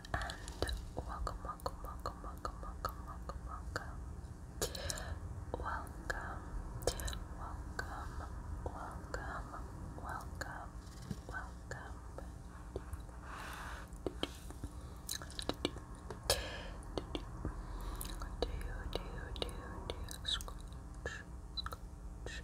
and welcome, welcome, welcome, welcome, welcome, welcome, welcome, welcome, welcome, welcome, welcome, welcome. Do do do do scratch, scratch,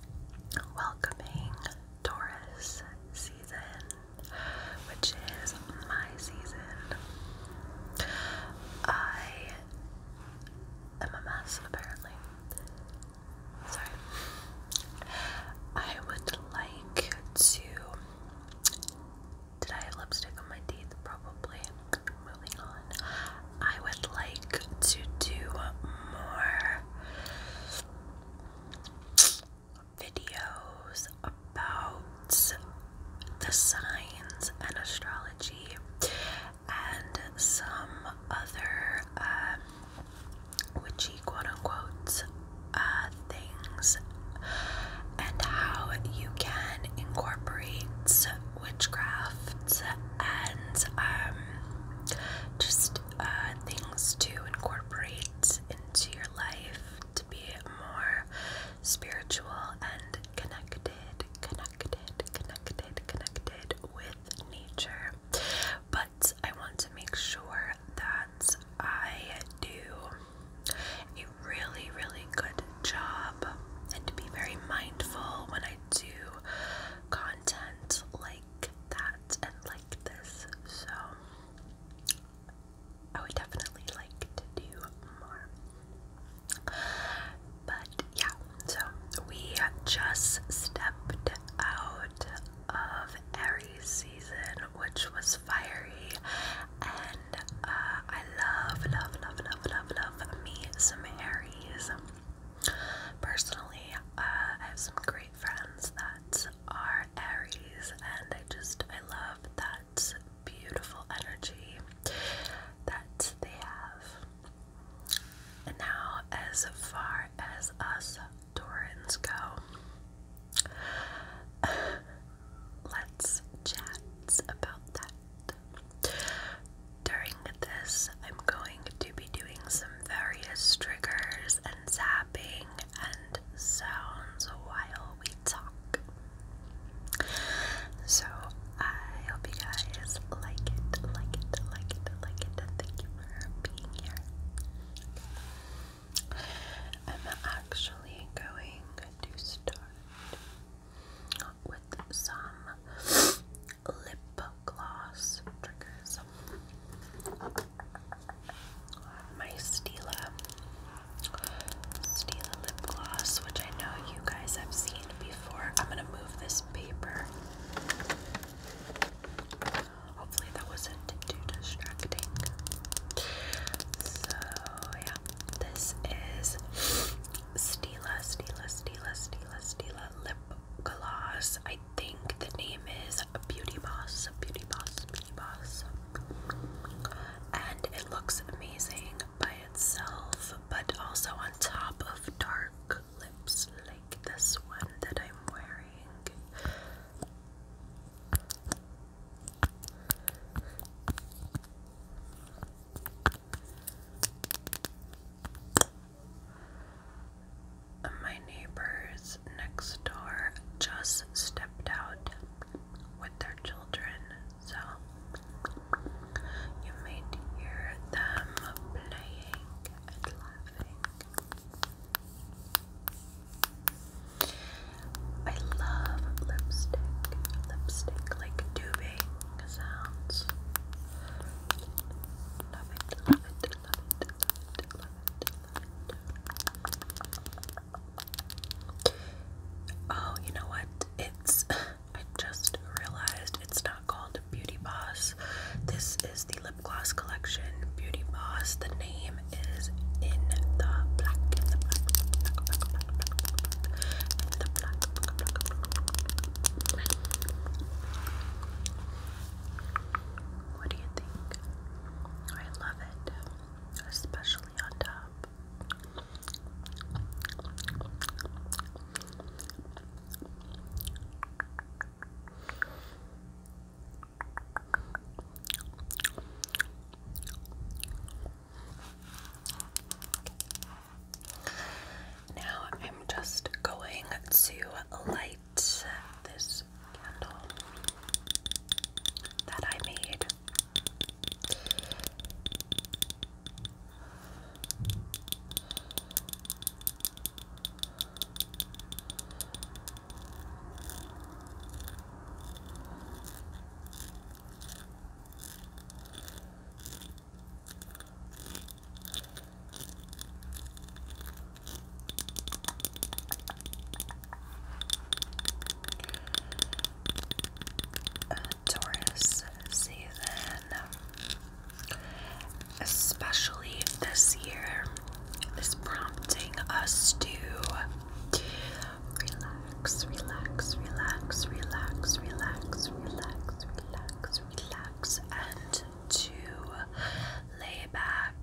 welcoming Taurus season, which is my season. I am a mess, apparently. Sorry. I would like to. Did I have lipstick on my teeth? Probably. Moving on. I would like to do more videos about the signs and astrology and some other um, witchy quote unquote uh, things and how you can incorporate witchcraft and um, just uh, things to incorporate into your life to be more spiritual and connected, connected, connected, connected with nature. But I want to make sure that I do a really, really good job and to be very mindful when I do content like like that and like this, so I would definitely like to do more. But yeah, so we just stepped out of Aries season, which was fiery, and uh, I love, love, love, love, love, love me some Aries. Personally, uh, I have some great friends that are Aries, and I just I love that beautiful energy that they have. And now, as far as us Taurans go, let's chat about that. During this, I'm going to be doing some various triggers and zapping and sounds while we talk. So I hope you guys like it, like it, like it, like it, and thank you for being here. I'm actually going to start with some lip gloss triggers. My Stila Stila lip gloss, which I know you guys have seen before. I'm gonna move this paper. Hopefully that wasn't too distracting. So yeah, this is Stila, Stila, Stila, Stila, Stila lip gloss. I think the name is Beauty Boss, Beauty Boss, Beauty Boss. And it looks amazing by itself, but also on top of dark lips like this one that I'm wearing. My neighbors next door just stepped out with their children, so you may hear them playing and laughing. I love lipstick, lipstick like tubing sounds. Love it. Oh, you know what? It's I just realized it's not called Beauty Boss. This is the lip gloss collection, Beauty Boss. The name is in the black. What do you think? I love it, especially on top. Now I'm just going to light this candle that I made. Uh, Taurus season, especially this year, is prompting us to relax, relax, relax, relax, relax, relax, relax, relax, and to lay back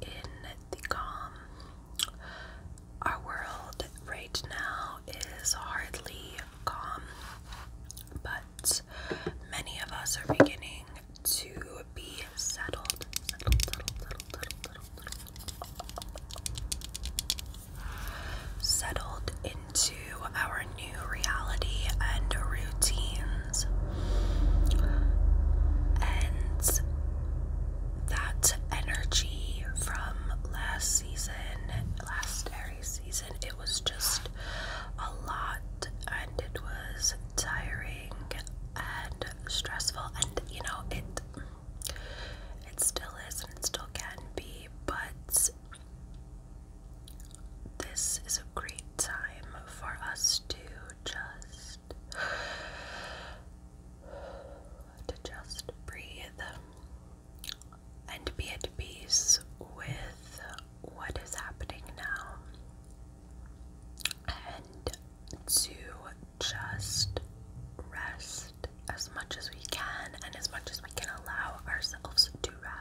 in the calm. Our world right now is hardly calm, but many of us are beginning to be Settled, settled, settled, settled, settled, settled. settled in into our new reality and routines. And that energy from last season, last Aries season, it was just a lot and it was tiring and stressful and you know it it still is and it still can be but this is a great time for us to just to just breathe and be at peace with what is happening now and to just rest as much as we can and as much as we can allow ourselves to rest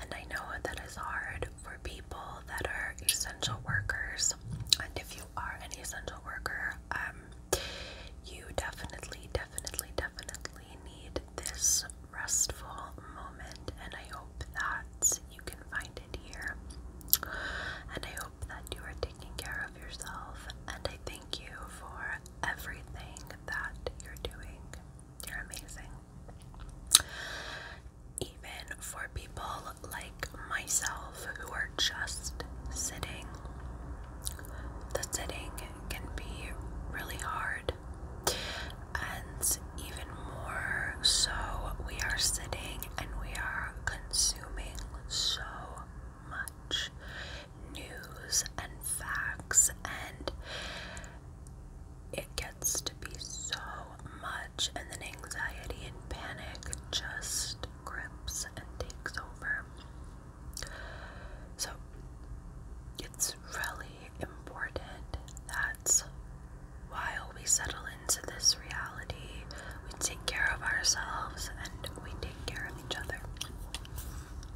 and I know that is hard for people that are essential workers. And if you are an essential worker, um, you definitely, definitely, definitely need this restful moment. And I hope that you can find it here. And I hope that you are taking care of yourself. And I thank you for everything that you're doing. You're amazing. Even for people like myself who are just sitting, the sitting can be really hard, and even more so, we are sitting and we are consuming so much news and facts and it gets to be so much, and then anxiety and panic just grips and takes over. So, it's really important that while we settle into this reality, we take care of ourselves and we take care of each other.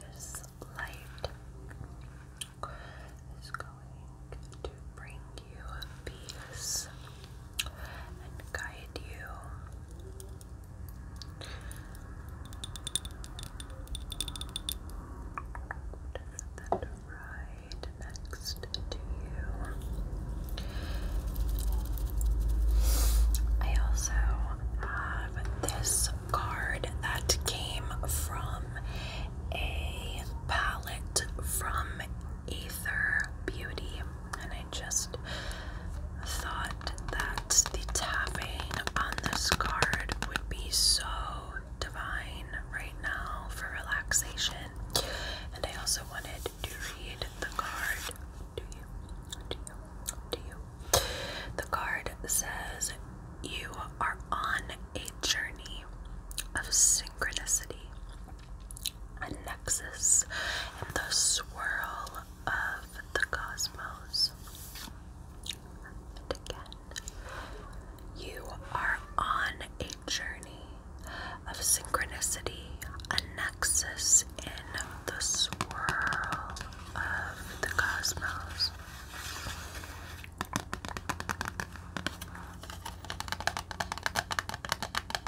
This light is going to bring you peace and guide you. right next to you. I also have this card that came from a palette from Aether Beauty, and I just thought that the tapping on this card would be so divine right now for relaxation. And I also wanted to read the card to you, to you, to you. The card says, You are on a journey of synchronicity a nexus in the swirl of the cosmos. again, you are on a journey of synchronicity, a nexus in the swirl of the cosmos.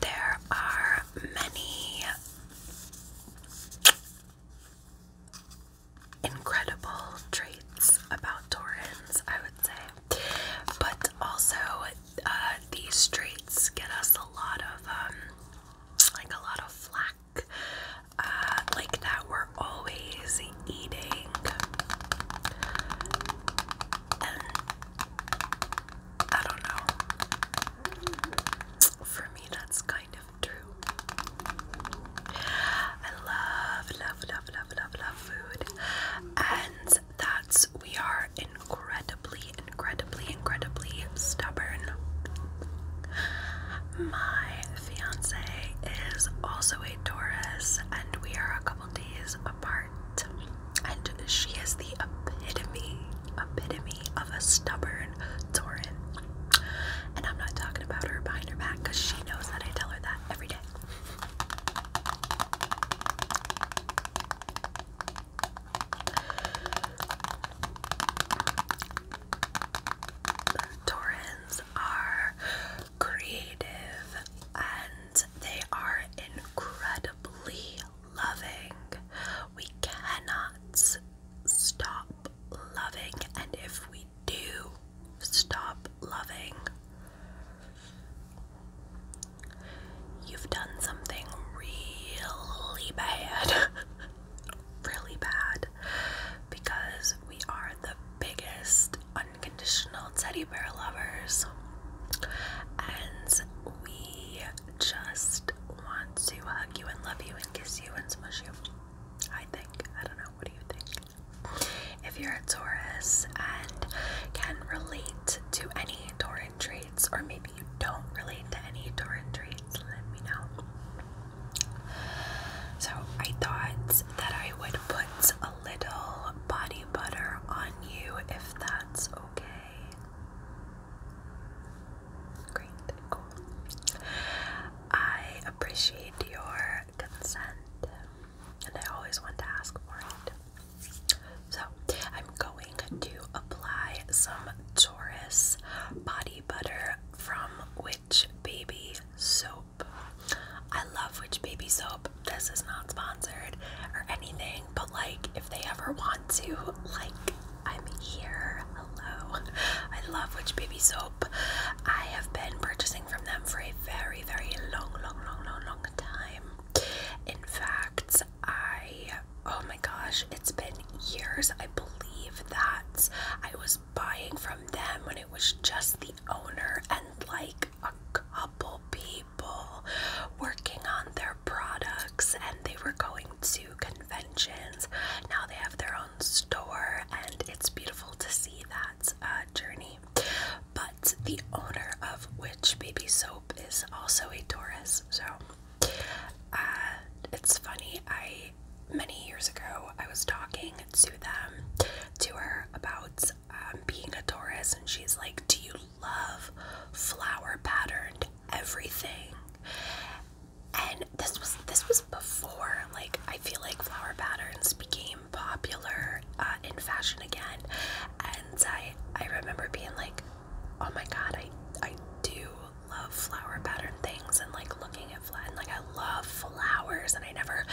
There are many incredible traits about Taurans, I would say, but also uh, these traits get us a lot of, um, like a lot of flack uh, like that we're always eating. And I don't know. For me, that's kind of true. I love, love, love, love, love, food. And that's, we are incredibly, incredibly, incredibly stubborn. My fiance is also a Doris, and we are a couple days apart. And she is the epitome, epitome of a stubborn Tauran. And I'm not talking about her behind her back because she knows that I tell her that every day. Taurans are creative, and they are incredibly loving. We cannot stop loving, and if we do stop loving, You've done something really bad. really bad because we are the biggest unconditional teddy bear lovers and we just want to hug you and love you and kiss you and smush you. I think. I don't know. What do you think? If you're a Taurus and can relate to any Tauran traits, or maybe you don't relate to any Tauran traits, let me know. So I thought that I would put a little body butter on you if that's okay. Great, I appreciate your consent, and I always want to ask for it. So, I'm going to apply some Taurus body butter from Witch Baby Soap. I love Witch Baby Soap. This is not sponsored or anything, but like if they ever want to, like I'm here. Hello. I love Witch Baby Soap. I have been purchasing from them for a very, very long, long, long, long, long time. In fact, I oh my gosh, it's been years. I believe that I was buying from them when it was just the owner and like a couple people working on their products and they were going to conventions. Now they have their own store and it's beautiful to see that uh, journey. But the owner of Witch Baby Soap is also a Taurus, so uh, it's funny. I many years ago, I was talking to them, to her about um, being a Taurus, and she's like, Do you love flower patterned everything? And this was this was before like I feel like flower patterns became popular uh, in fashion again, and I I remember being like, oh my god, I I do love flower pattern things and like looking at like I love flowers, and I never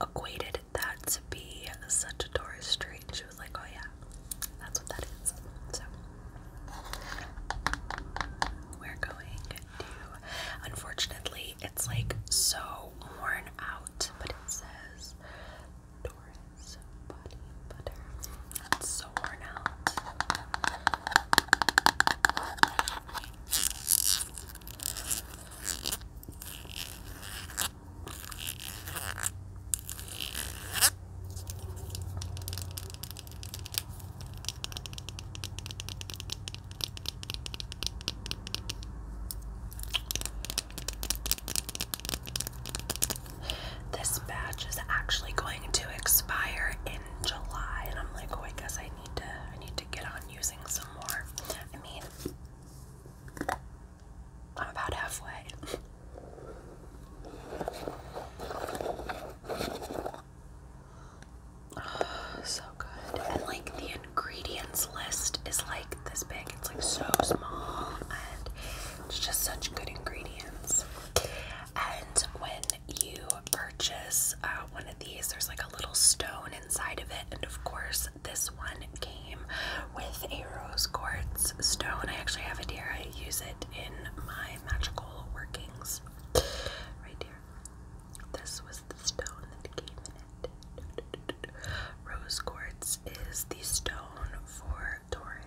equated that to be such a tourist street. And she was like, "Oh yeah, that's what that is." So we're going to. Unfortunately, it's like so worn out, but it says Doris body butter. It's so worn out. This batch is actually going to expire in July, and I'm like, oh, I guess I need to, I need to get on on using some more. I mean, I'm about halfway. Oh, so good. And like the ingredients list is like this big, it's like so small, and it's just such good ingredients. And when you purchase uh, one there's like a little stone inside of it, and of course, this one came with a rose quartz stone. I actually have it here. I use it in my magical workings. Right here. This was the stone that came in it. Rose quartz is the stone for Taurans.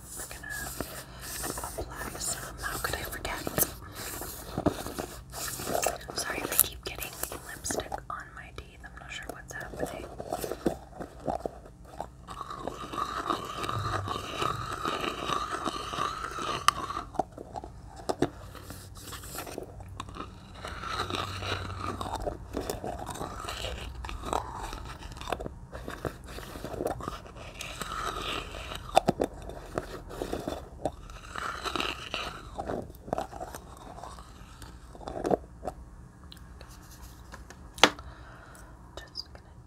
We're gonna apply some. How could I forget? I'm sorry I keep getting lipstick on my teeth. I'm not sure what's happening. Just gonna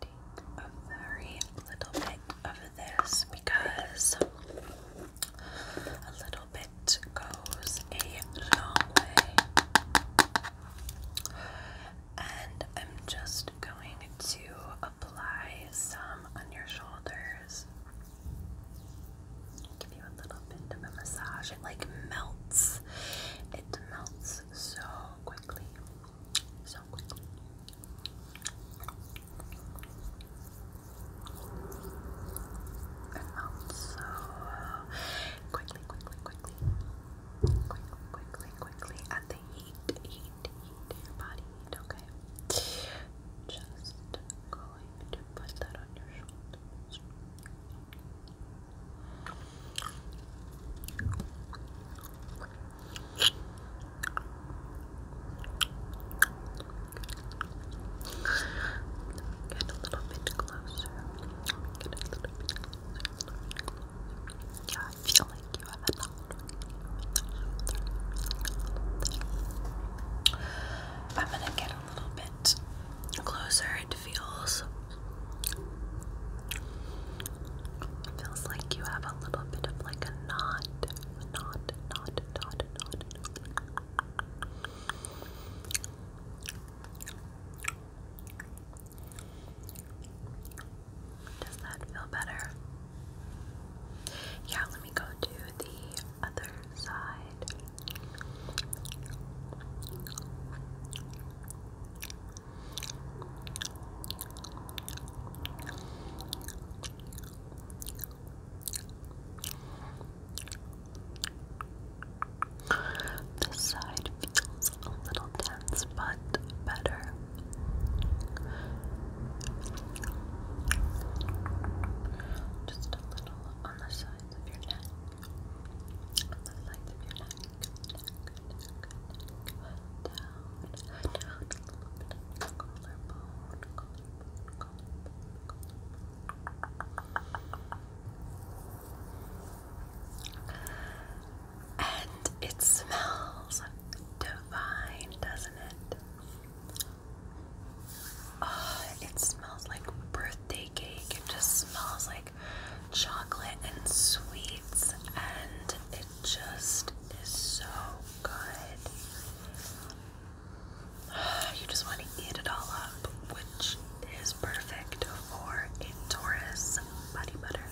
take a very little bit of this because a little bit goes a long way. And I'm just going to apply some on your shoulders. Give you a little bit of a massage. It like melts. It melts so quickly. So quickly. It melts so quickly, quickly, quickly. Quickly, quickly, quickly. At the heat, heat, your body heat, okay? Just going to put that on your shoulders. Get a little bit closer. Get a little bit closer. I feel like you have an already. I'm gonna get a little bit closer. It feels. feels like you have a little bit of like a knot, knot, knot, knot, knot, a knot. Does that feel better? Yeah, let me go to the other side. This side feels a little tense, but better. Just a little on the sides of your neck. On the sides of your neck. Down, down collarbone. And it smells divine, doesn't it? Oh, it smells like birthday cake. It just smells like chocolate and sweets, and it just is so good. You just want to eat it all up, which is perfect for a Taurus body butter.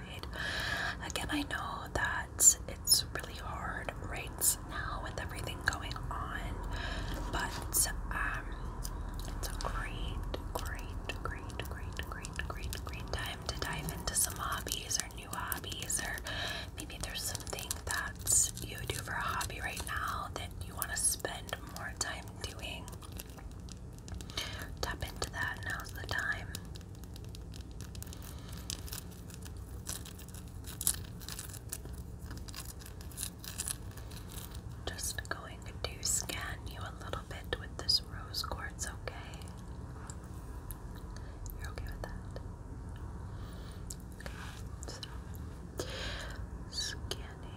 Again, I know that it's really hard right now with everything going on, but um, it's a great, great, great, great, great, great, great time to dive into some hobbies or new hobbies, or maybe there's something that you do for a hobby right now that you want to spend more time doing. Tap into that, now's the time. Just going to scan you a little bit with this rose quartz, okay? You're okay with that? scanning,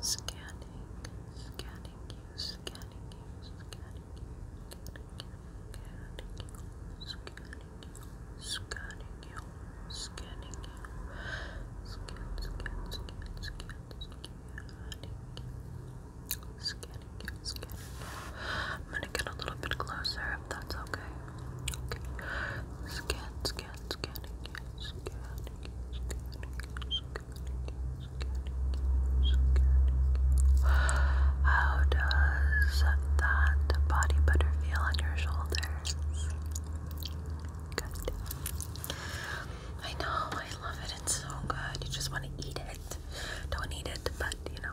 scanning, scanning, scanning you, scanning you, scanning I'm gonna get a little bit closer if that's okay. Scan, scan, scanning, scanning, scanning, scanning, scanning, how does that body butter feel on your shoulders? I know, I love it. It's so good. You just want to eat it. Don't eat it, but you know.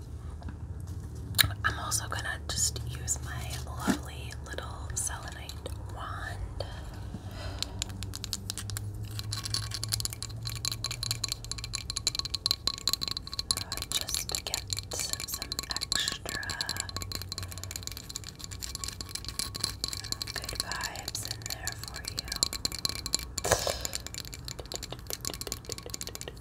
I'm also gonna just use my lovely little selenite wand. Uh, just get some extra good vibes in there for you.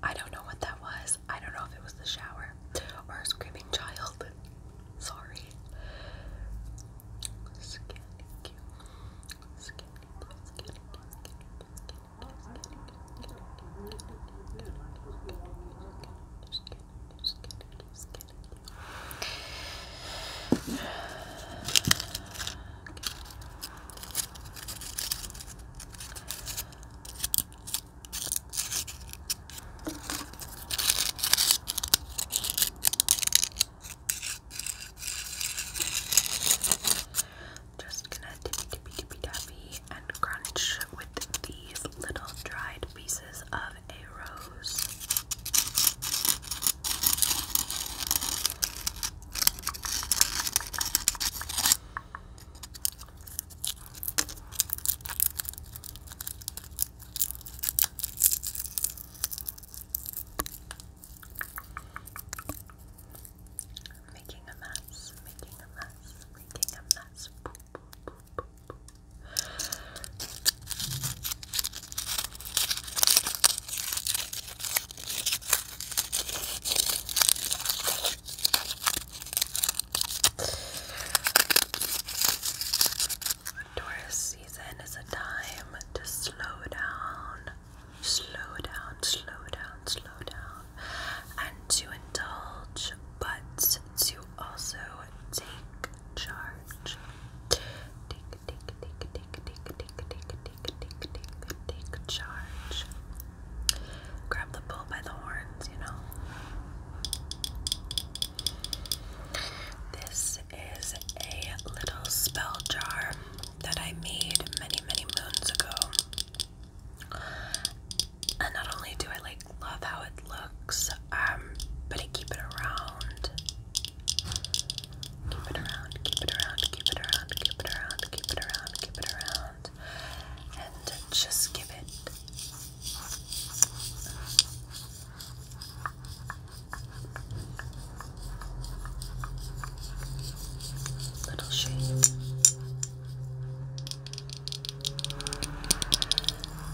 I don't know what that was. I don't know if it was the shower or a screaming child. Sorry just kidding, just kidding. Okay. Just gonna tippy and crunch these little dried pieces of a rose. Making a mess, making a mess, making a mess. boop, boop, boop, Taurus season is a time to slow down, slow down, slow down, slow down, and to indulge, but is to also take charge. take, take, take, take, take, take, take, take, take, take charge. Grab the bull by the horns, you know. This is a little spell jar that I made many, many moons ago. And not only do I like love how it looks, um, but I keep it around. Keep it around, keep it around, keep it around, keep it around, keep it around, keep it around. And just give it little shade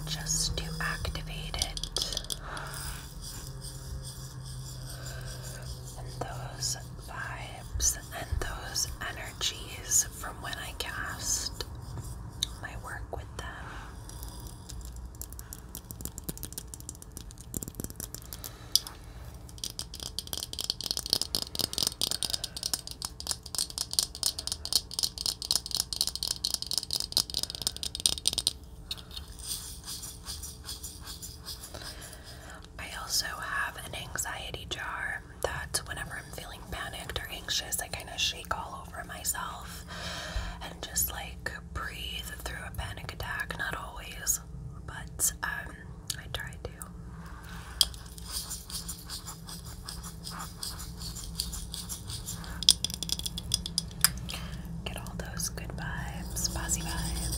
just to activate it. And those vibes and those energies from when I cast my work with them. I also have an anxiety jar that whenever I'm feeling panicked or anxious, I kind of shake all over myself and just like breathe through a panic attack. Not always, but um, I try to. Get all those good vibes, bossy vibes.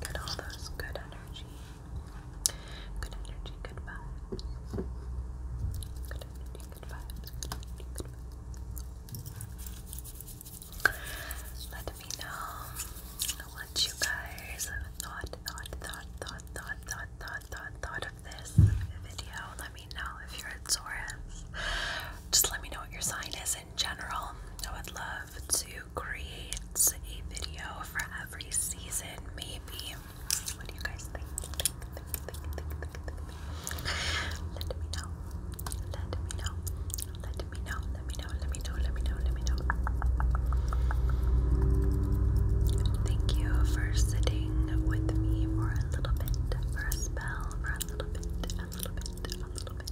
Get all those good energy. Good energy, good vibes. Good energy, good vibes. Good energy, good vibes. Let me know what you guys thought, thought, thought, thought, thought, thought, thought, thought, thought of this video. Let me know if you're a Just let me know what your sign is in general. I would love to create a video for every season, maybe. What do you guys think. Let me know. Let me know. Let me know. Let me know. Let me know. Let me know. Let me know. Thank you for sitting with me for a little bit, for a spell, for a little bit, a little bit, a little bit.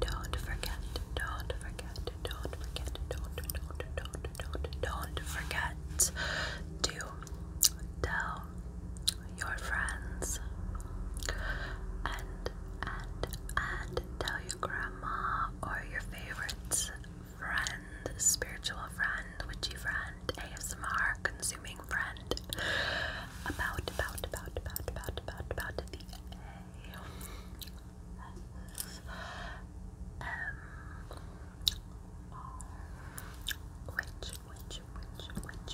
Don't forget. Don't forget. Don't forget. Don't don't don't don't don't forget to tell your friends and and and tell your grandma or your favorite friend, spiritual friend, witchy friend, ASMR consuming friend about about about about about about about the A S M R which which which which